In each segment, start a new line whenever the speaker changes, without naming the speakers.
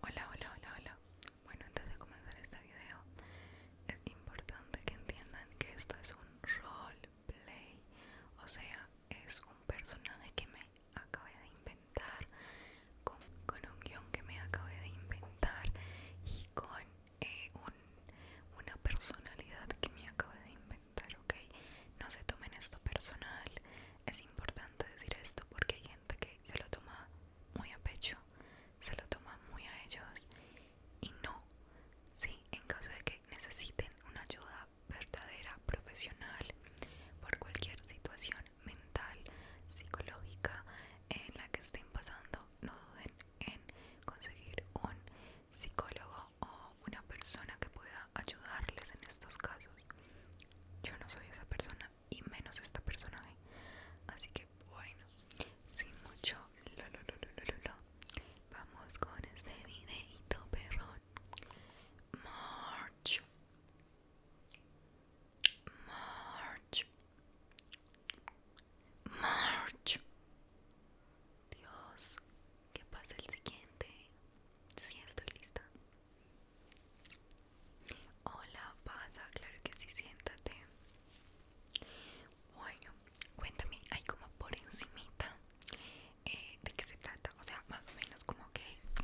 Hola, hola, hola, hola. Bueno, antes de comenzar este video, es importante que entiendan que esto es un roleplay, o sea, es un personaje que me acabé de inventar, con, un guión que me acabé de inventar y con eh, una personalidad que me acabé de inventar, ¿ok? No se tomen esto personal, es importante decir esto porque hay gente que se lo toma muy a pecho, se lo toma muy a ellos y no, sí, en caso de que necesiten una ayuda verdadera, profesional, por cualquier situación mental, psicológica en la que estén pasando, no duden en conseguir un psicólogo o una persona que pueda ayudarles en estos casos. Yo no soy esa persona, y menos esta persona ¿eh? Así que bueno, sin mucho vamos con este videito perrón. March. March. March. Dios, que pasa el siguiente. Si estoy lista. Hola, pasa, claro que sí, siéntate. Bueno, cuéntame, hay como por encimita eh, de qué se trata, o sea, más o menos como que es.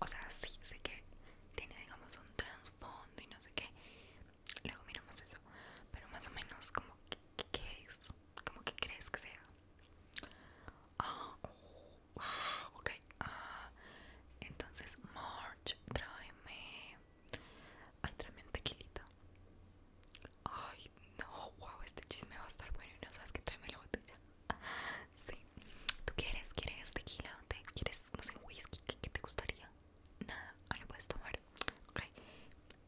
O sea, sí, sé que tiene, digamos, un trasfondo y no sé qué. Luego miramos eso, pero más o menos como que, es, como que crees que sea. Ah, Okay, ok. Ah, entonces, March, tráeme. Ay, tráeme un tequilita. Ay, no, wow, este chisme va a estar bueno. Y no sabes que tráeme la botella. Sí, ¿tú quieres? ¿Quieres tequila? ¿Quieres, no sé, whisky? ¿Qué, te gustaría? Nada, ahora puedes tomar. Ok,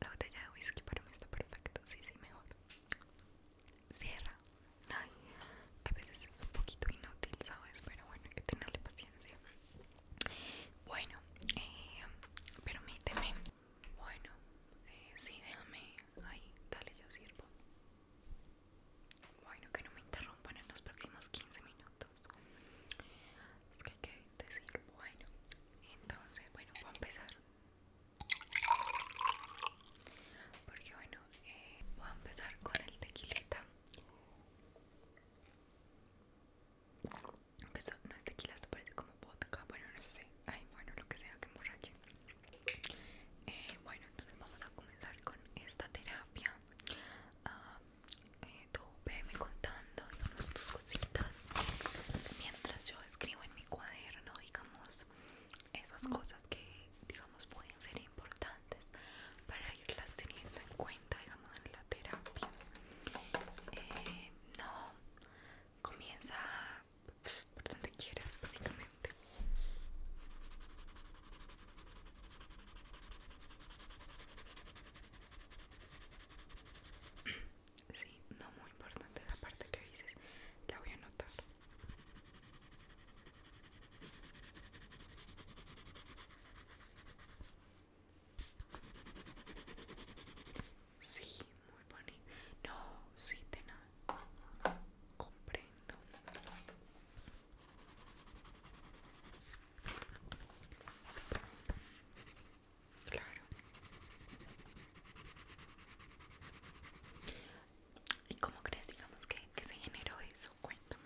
la botella de whisky para mí está perfecta. Sí, sí, mejor cierra. Ay, a veces es un poquito inútil, ¿sabes? Pero bueno, hay que tenerle paciencia. Bueno, eh, permíteme. Bueno, eh, sí, déjame. Ahí, dale, yo sirvo. Bueno, que no me interrumpan en los próximos 15 minutos. Es que hay que decir, bueno, entonces, bueno, voy a empezar. Porque bueno, eh, voy a empezar con el tequilita. Aunque no es tequila, esto parece como vodka. Bueno, no sé. Ay, bueno, lo que sea que emborrache. Eh, bueno, entonces vamos a comenzar con esta terapia. Ah, eh, tú veme contando, digamos, tus cositas. Mientras yo escribo en mi cuaderno, digamos, esas cosas que digamos pueden ser importantes para irlas teniendo en cuenta digamos en la terapia eh, no comienza pues, por donde quieras básicamente Sí, no muy importante la parte que dices, la voy a anotar. Sí, muy bonito. No, sí, de nada. Comprendo. Claro. ¿Y cómo crees, digamos, que, se generó eso? Cuéntame.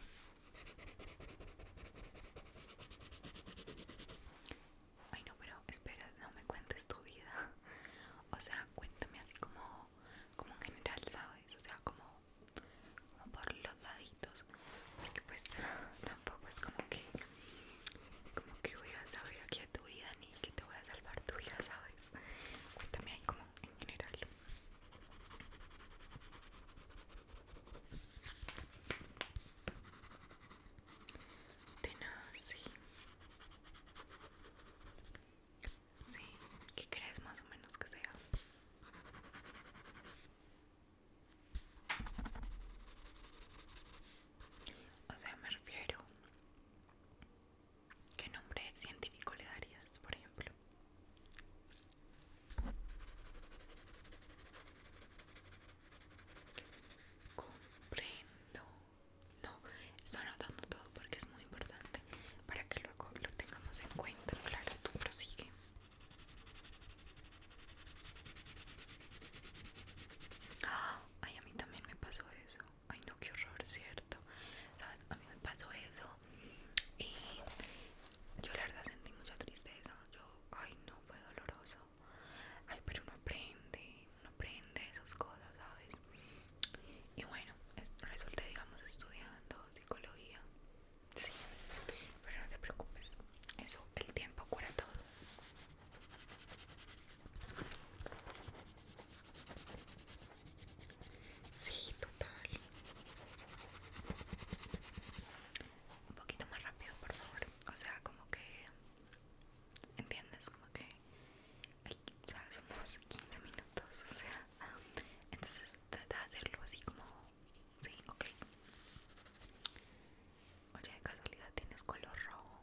Ay, no, pero espera, no me cuentes tu vida. O sea, cuéntame así como, como en general, ¿sabes? O sea, como, por los laditos. Porque pues tampoco es como que, como que voy a saber quieto vida ni que te voy a salvar tu vida, ¿sabes? Cuéntame ahí como en general. Tenaz, sí. Sí, ¿qué crees más o menos que sea? O sea, me refiero ¿Qué nombre científico le darías, por ejemplo? Comprendo. No, estoy anotando todo porque es muy importante para que luego lo tengamos en cuenta. Claro, tú prosigue. Ay, a mí también me pasó eso. Ay no, qué horror, ¿cierto? ¿Sabes? A mí me pasó eso y yo la verdad sentí mucha tristeza. Yo, ay no, fue doloroso. Ay, pero uno aprende, uno aprende esas cosas, ¿sabes? Y bueno, resulté, digamos, estudiando psicología. Sí, pero no te preocupes, eso, el tiempo cura todo. Sí, total. Un poquito más rápido, por favor. O sea, como que... ¿Entiendes? Como que... o sea, somos 15 minutos, o sea... Entonces trata de hacerlo así como... Sí, ok. Oye, de casualidad tienes color rojo.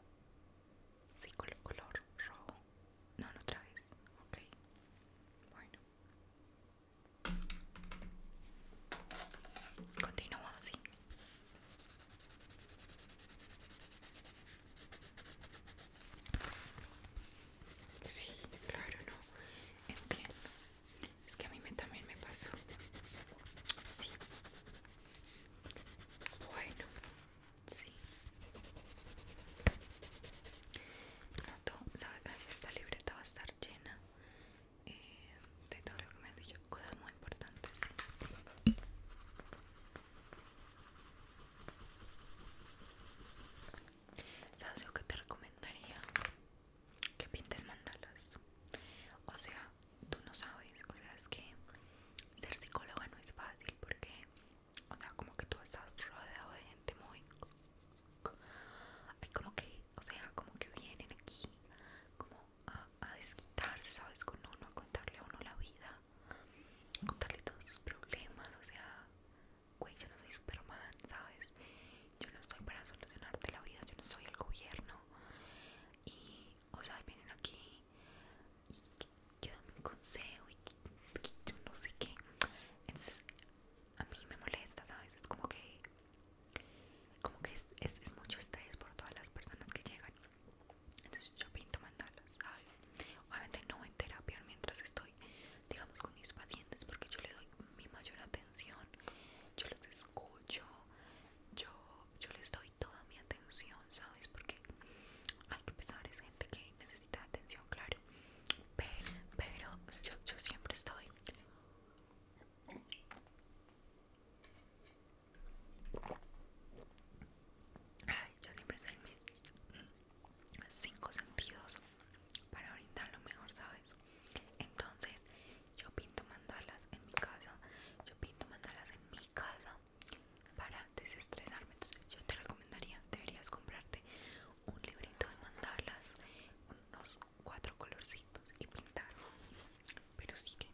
Sí, color, color rojo. No, no otra vez. Ok. Bueno. Continúo así. Sí, claro, no. Entiendo. Es que a mí me, también me pasó. Sí, bueno, sí. Noto, sabes, que esta libreta va a estar llena eh, de todo lo que me han dicho, cosas muy importantes. ¿sí? ¿Sabes lo que te recomendaría? Que pintes mandalas. O sea, tú no sabes, o sea, es que ser psicóloga no es fácil porque, o sea, como que tú estás rodeado de gente muy... como que, o sea, como que vienen aquí como a, a desquitarse, ¿sabes? Con uno, a contarle a uno la vida, contarle todos sus problemas, o sea, güey, yo no soy Superman, ¿sabes? Yo no estoy para solucionarte la vida, yo no soy el gobierno. Y o sea, vienen aquí y que, dan un consejo y yo no sé qué. Entonces, a mí me molesta, ¿sabes? Es como que, como que es, es, mucho estrés por todas las personas que llegan. Entonces, yo pinto mandalas, ¿sabes? Obviamente, no en terapia mientras estoy, digamos, con mis pacientes, porque yo le doy mi mayor atención, yo los escucho, yo, yo les doy toda mi atención, ¿sabes? Porque hay que pensar, es gente que necesita atención, claro. Pero, yo, yo siempre estoy... Ay, yo siempre estoy en mis cinco sentidos para orientarlo lo mejor, ¿sabes? Entonces, yo pinto mandalas en mi casa, yo pinto mandalas en mi casa para desestresarme. Entonces yo te recomendaría, deberías comprarte un librito de mandalas, unos cuatro colorcitos y pintar. Pero sí que...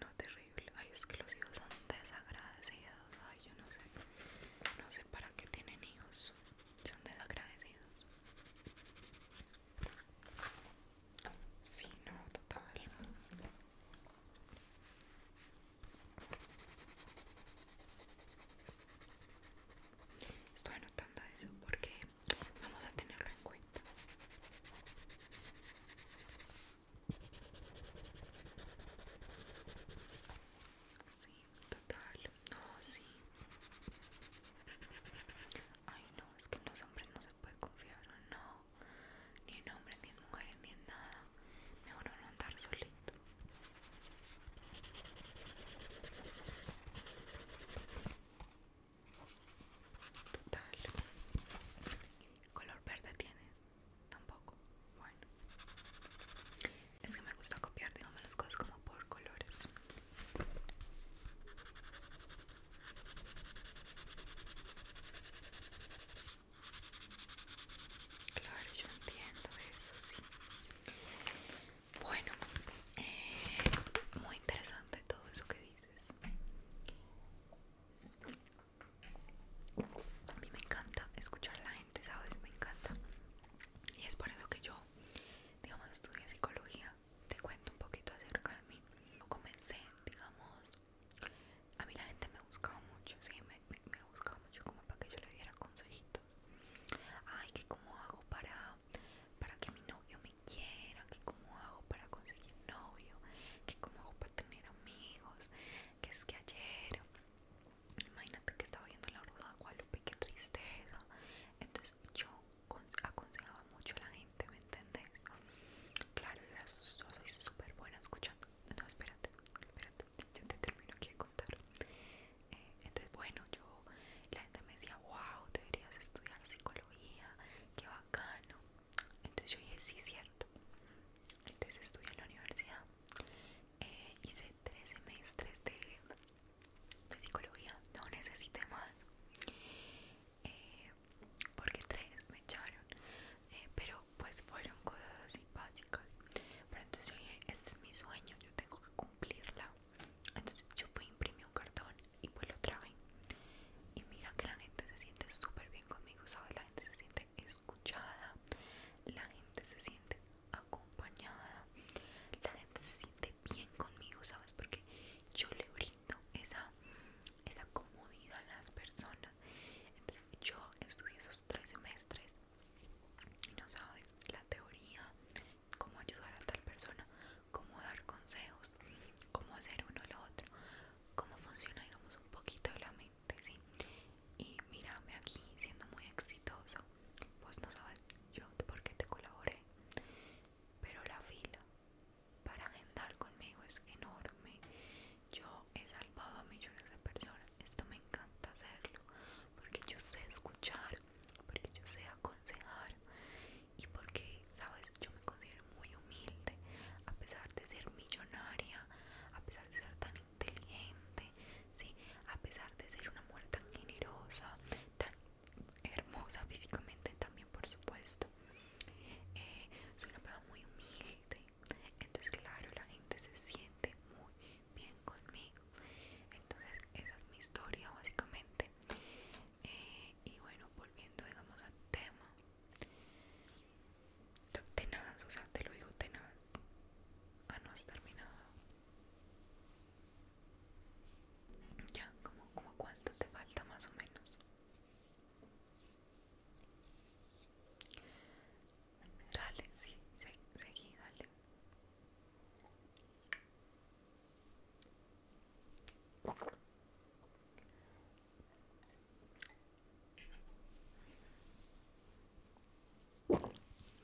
No, terrible. Ay, es que los hijos son desagradecidos. Ay, yo no sé. No sé para qué tienen hijos. Son desagradecidos. Sí, no, total. Estoy notando eso porque vamos a tenerlo en cuenta. Sí, total. No, sí. Ay, no, es que en los hombres no se puede confiar, no. Ni en hombres, ni en mujeres, ni en nada. Mejor no andar solito. Total. ¿Color verde tienes? Tampoco. Bueno. Es que me gusta copiar, digamos, las cosas como por colores. Claro, yo entiendo eso, sí. Bueno, eh, muy interesante todo eso que dices. A mí me encanta escuchar a la gente, ¿sabes? Me encanta. Y es por eso que yo, digamos, estudié psicología. Te cuento un poquito acerca de mí. Yo comencé, digamos, a mí la gente me buscaba mucho, sí, me, me, buscaba mucho como para que yo le diera consejitos. Ay, que cómo hago para, para que mi novio me quiera, que cómo hago para conseguir novio, que cómo hago tener amigos, que es que ayer, imagínate que estaba viendo la bruja de Guadalupe, qué tristeza. Entonces yo aconsejaba mucho a la gente, ¿me entendés? Claro, yo soy súper buena escuchando. No, espérate, espérate, yo te termino aquí contar. Eh, entonces, bueno, yo, la gente me decía, wow, deberías estudiar psicología, que va entonces yo dije, sí, cierto. Entonces estudié en la universidad. Eh, hice tres semestres de, psicología. No necesité más. Eh, porque tres me echaron. Eh, pero pues fueron cosas así básicas. Pero entonces yo dije, este es mi sueño, yo tengo que cumplirla. Entonces yo fui a imprimir un cartón y pues lo traje y mira que la gente se siente súper bien conmigo, ¿sabes? La gente se siente escuchada, la gente se siente acompañada, la gente se siente bien conmigo, ¿sabes? Porque yo le brindo esa, esa comodidad a las personas. Entonces yo estudié esos tres semestres y no sabes la teoría, cómo ayudar a tal persona, cómo dar consejos, cómo hacer uno o lo otro cómo funciona digamos un poquito de la mente, ¿sí? Y mírame aquí siendo muy exitosa pues no sabes yo por qué te colaboré, pero la fila para agendar conmigo es enorme. Yo he salvado a millones de personas, esto me encanta hacerlo, porque yo sé escuchar, porque yo sé aconsejar y porque, sabes, yo me considero muy humilde, a pesar de ser millonaria, a pesar de ser tan inteligente, a pesar de ser una mujer tan generosa, tan hermosa físicamente también, por supuesto. Eh, soy una persona muy humilde, entonces claro, la gente se siente muy bien conmigo. Entonces esa es mi historia básicamente. Eh, y bueno volviendo digamos al tema tenaz o sea te lo digo tenaz ah no has terminado ya como como cuánto te falta más o menos dale sí seguí dale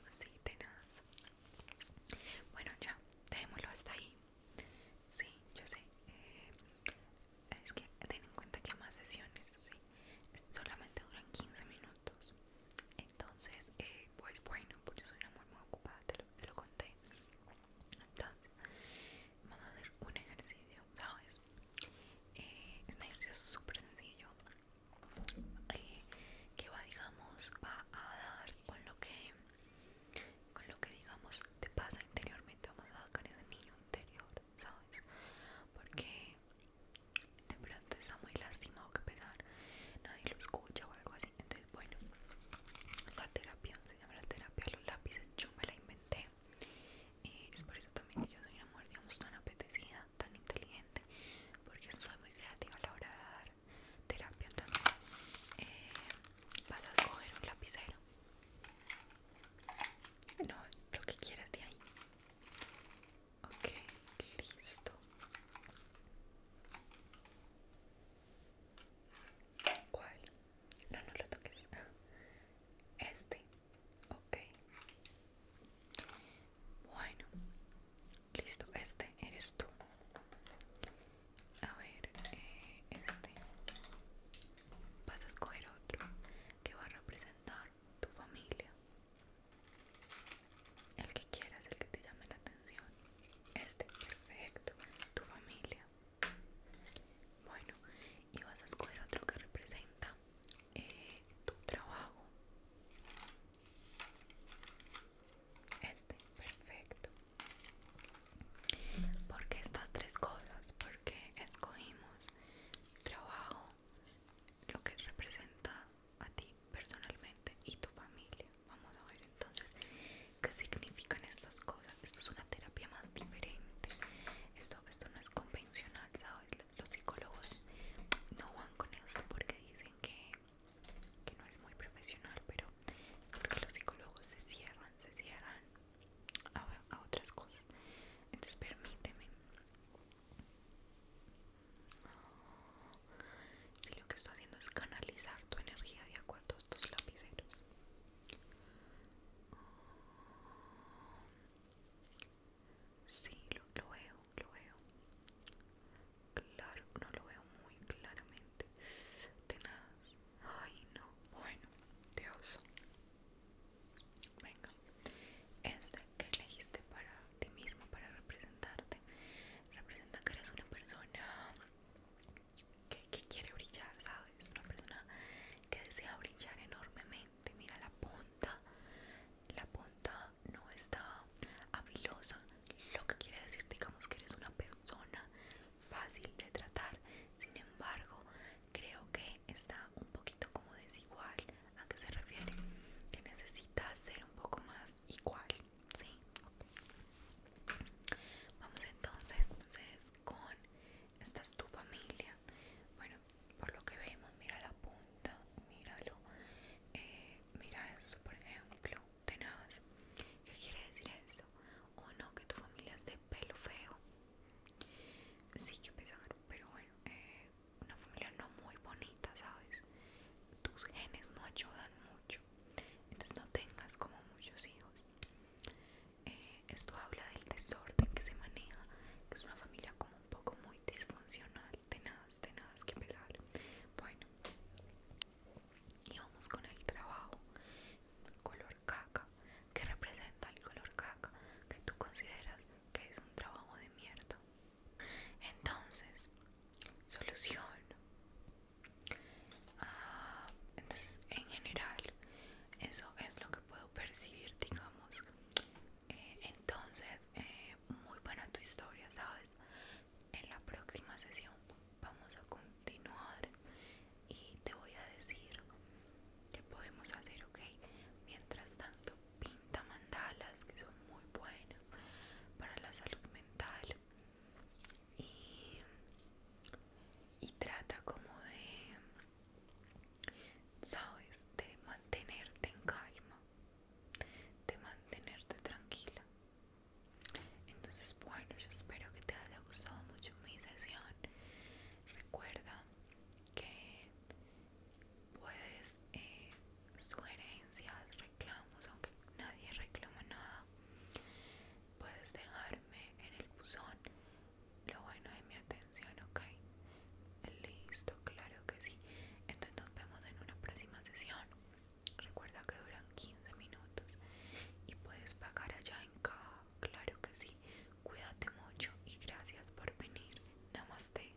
Así tenaz. Bueno, ya, dejémoslo hasta ahí. Sí, yo sé. Eh, es que ten en cuenta que más sesiones solamente duran 15 minutos. Entonces, eh, pues bueno, pues yo soy una muy ocupada, te lo conté. Entonces, vamos a hacer un ejercicio, ¿sabes? Eh, es un ejercicio súper sencillo eh, que va, digamos, va a dar con lo que, con lo que digamos, te pasa interiormente. Vamos a con ese niño interior, ¿sabes? Porque de pronto está muy lastimado que pesar, nadie lo escucha o algo así. Entonces, bueno, esta terapia la terapia los lápices, yo me la inventé. Eh, es por eso también que yo soy una mujer, digamos, tan apetecida, tan inteligente, porque soy muy creativa a la hora de dar terapia. también eh, vas a escoger un lapicero. No, lo que quieras de ahí. Ok, listo. ¿Cuál? No, no lo toques. Este. Ok. Bueno. Listo. Este eres tú. A ver, eh, este. Vas a escoger otro que va a representar tu familia. El que quieras, el que te llame la atención. Este, perfecto. Tu familia. Bueno, y vas a escoger otro que representa eh, tu trabajo. Este, perfecto. Porque estas tres cosas, porque escogimos trabajo, lo que representa a ti personalmente y tu familia vamos a ver entonces qué significan estas cosas. Esto es una terapia más diferente. Esto, esto no es convencional, ¿sabes? Los psicólogos no van con esto porque dicen que, no es muy profesional, pero es porque los psicólogos se cierran, se cierran a, otras cosas. Entonces permíteme si lo que estoy haciendo es canalizar tu energía de acuerdo a estos lapiceros. Sí, lo, veo, lo veo. Claro, no lo veo muy claramente. Tenaz. Ay, no. Bueno, Dios. Venga. Este que elegiste para ti mismo, para representarte, representa que eres una persona que, quiere brillar, ¿sabes? Una persona que desea brillar enormemente. Mira la punta, la punta no está afilosa. Lo que quiere decir, digamos, que eres una persona fácil de tratar. Sin embargo, creo que está un poquito como desigual. ¿A qué se refiere? Que necesita ser un poco más igual. ¿sí? Vamos entonces, entonces con esta es tu familia. Bueno, por lo que vemos, mira la punta, míralo. Eh, mira eso, por ejemplo, tenaz. ¿Qué quiere decir eso? O no, que tu familia es de pelo feo. Sí que pesado, pero bueno, eh, una familia no muy bonita, ¿sabes? Tus genes no ayudan mucho entonces no tengas como muchos hijos eh, esto habla del desorden que se maneja que es una familia como un poco muy disfuncional nada, tenaz tenaz que empezar. bueno y vamos con el trabajo color caca que representa el color caca que tú consideras que es un trabajo de mierda entonces, solución. Ah, entonces, en general, eso es lo que puedo percibir, digamos. Eh, entonces, eh, muy buena tu historia, ¿sabes? En la próxima sesión vamos a continuar y te voy a decir qué podemos hacer, ¿ok? Mientras tanto, pinta mandalas que son muy buenas para la salud mental y, trata como de, sabes, de mantenerte en calma, de mantenerte tranquila. Entonces, bueno, yo espero que te haya gustado mucho mi sesión. Recuerda que puedes eh, sugerencias, aunque nadie reclama nada, puedes dejarme en el buzón lo bueno de mi atención, ok. Listo, claro que sí. Entonces nos vemos en una próxima sesión. Recuerda que duran 15 minutos y puedes pagar allá en caja, claro que sí. Cuídate mucho y gracias por venir. Namaste.